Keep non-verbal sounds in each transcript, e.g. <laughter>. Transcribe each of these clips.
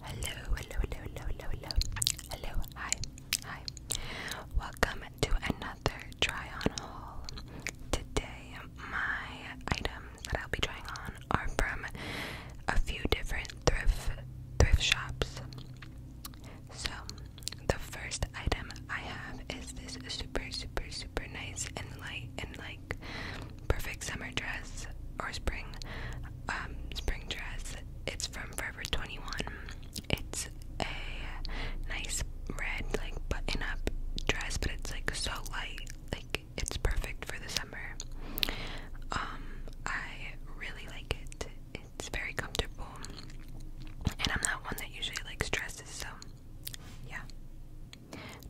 Hello, hello, hello, hello, hello, hello, hello, hi, hi. Welcome to another try on haul. Today, my items that I'll be trying on are from a few different thrift thrift shops. So, the first item I have is this super, super, super nice and light and light perfect summer dress or spring um, spring dress. It's from Forever 21. It's a nice red like button up dress, but it's like so light. Like it's perfect for the summer. Um, I really like it. It's very comfortable. And I'm not one that usually likes dresses, so yeah.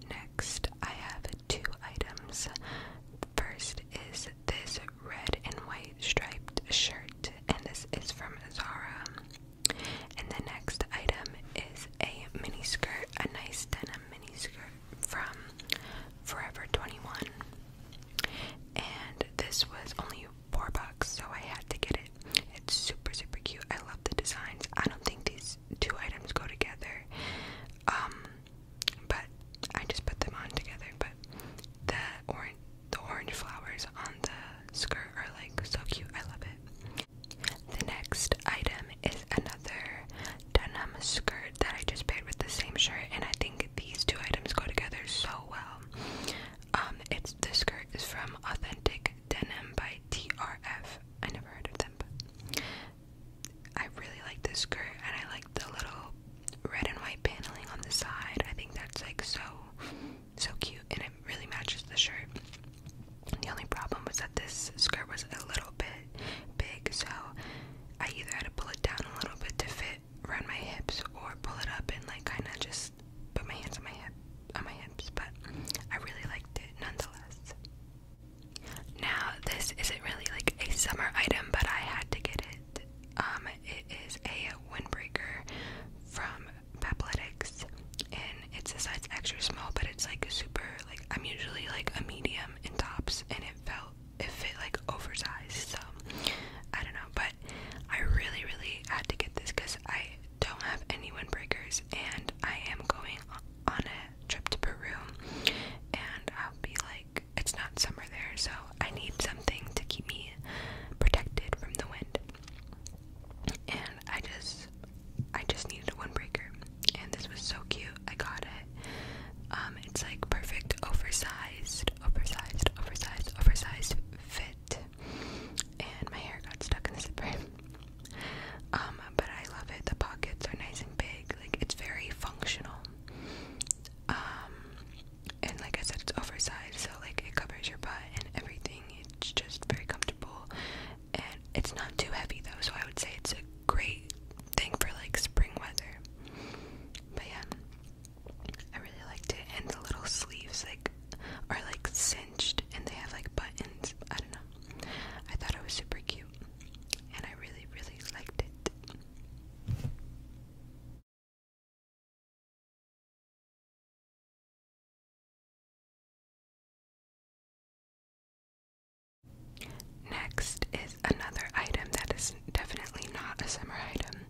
Next, I have two items. First is this red and white striped shirt, and this is from Zara. And the next item is a mini skirt, a nice denim mini skirt from Forever 21. And this was only four bucks, so I had to get it. It's super, super cute. I love the designs. I don't think these two items go together. Um, but I just put them on together. But the orange, the orange flowers on the skirt are like so cute. I love it. The next item is another denim skirt that I just paired with the same shirt, and I think these two items go together so well. Um, it's the skirt is from Authentic Denim by TRF. I never heard of them I really like this skirt and I like the little red and white paneling on the side. I think that's like so so cute and it really matches the shirt. The only problem was that this skirt was a little bit big, so I either had to pull it down a little bit to fit around my hips or pull it up and like kind of just put my hands on my hip on my hips, but I really liked it nonetheless. Now, this isn't really like a summer item, but I had to get it. Um, it is a windbreaker from Papletics, and it's a size extra small, but it's like super. Like I'm usually like a medium in tops, and it felt it fit like oversized. So I don't know, but I really, really had to get this because I don't have any windbreakers, and I am going on a trip to Peru, and I'll be like, it's not summer there, so I need something to keep me protected from the wind. And I just, I just needed a windbreaker, and this was so cute. I got it. Um, it's like perfect, oversized, oversized, oversized, oversized fit and my hair got stuck in the zipper. Um, but I love it. The pockets are nice and big. Like it's very functional. Um, and like I said, it's oversized, so like it covers your butt and everything. It's just very comfortable, and it's not too heavy though. So I would say it's a great thing for like spring weather. But yeah, I really liked it, and the little sleeves like are like cinched and they have like buttons. I don't know. I thought it was super cute and I really, really liked it. Next is another item that is definitely not a summer item.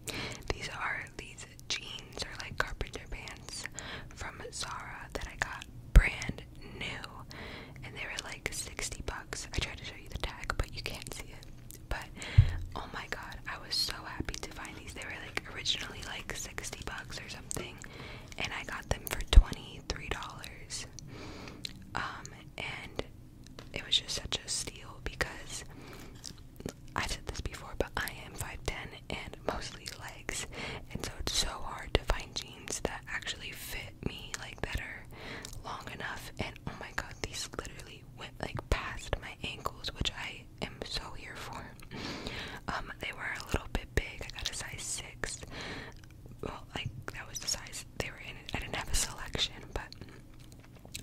These are these jeans are like carpenter pants from Zara that I got brand new and they were like 60 bucks. I tried to show you the tag but you can't see it. But oh my god, I was so happy to find these. They were like originally like 60 bucks or something and I got them for $23. Um and it was just such a steal because I've said this before, but I am 5'10 and mostly legs, and so it's so hard to find jeans that actually fit me, like better, long enough. And oh my god, these literally went like past my ankles, which I am so here for. <laughs> Um, they were a little bit big. I got a size six. Well, like that was the size they were in. I didn't have a selection, but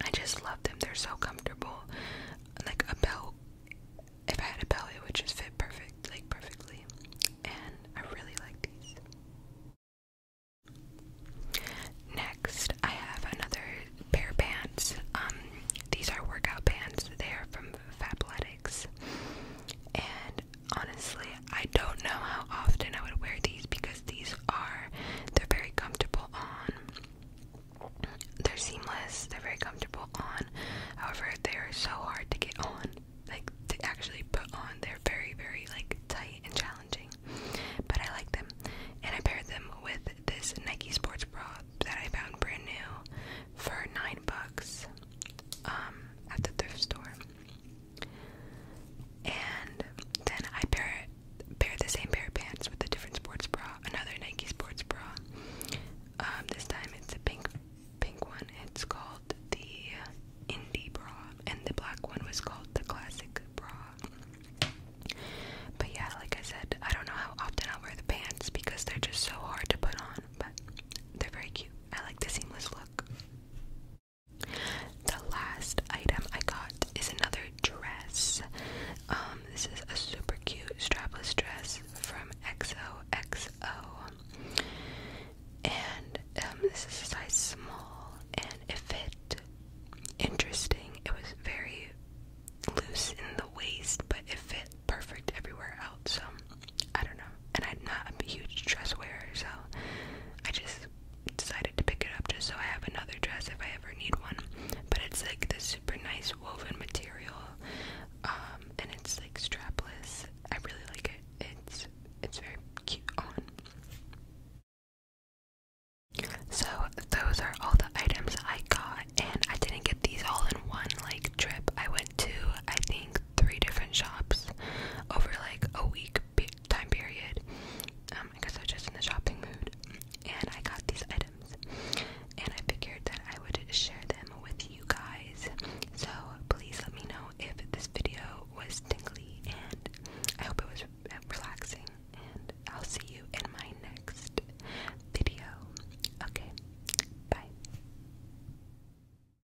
I just love them. They're so comfortable. Like a belt, if I had a belly, it would just fit perfect, like perfectly. And I really like these. Next, I have another pair of pants. Um, these are workout pants. They are from Fabletics. And honestly, I don't know how often I would wear these because these are they're very comfortable on. They're seamless. They're very comfortable on. However, they're so hard to get on. Like to actually put on. They're very very like tight and challenging. But I like them. And I paired them with this Nike sports bra that I found brand new for 9 bucks um at the thrift store. And then I pair pair the same pair of pants with a different sports bra, another Nike sports bra. Um, this time it's a pink pink one. It's called the Indie bra, and the black one was called the Classic bra. But yeah, like I said, I don't know how often I'll wear the pants because they're just so hard to put on, but they're very cute. I like the seamless look. The last item I got is another dress. Um, this is a super cute strapless dress from XOXO. And um, this is a size small and it fit interesting. It was very loose in the waist, but it fit perfect everywhere else. So I don't know. And I'm not a huge dress wearer, so I just decided to pick it up just so I have another dress if I ever need one. But it's like this super nice woven material, um, and it's like strapless. I really like it. It's it's very cute on. So those are all the items I got, and I didn't get these all in one like trip. I went to I think three different shops over like a week time period um because I was just in the shopping mood and I got these items and I figured that I would share them with you guys so please let me know if this video was tingly and I hope it was relaxing and I'll see you in my next video okay bye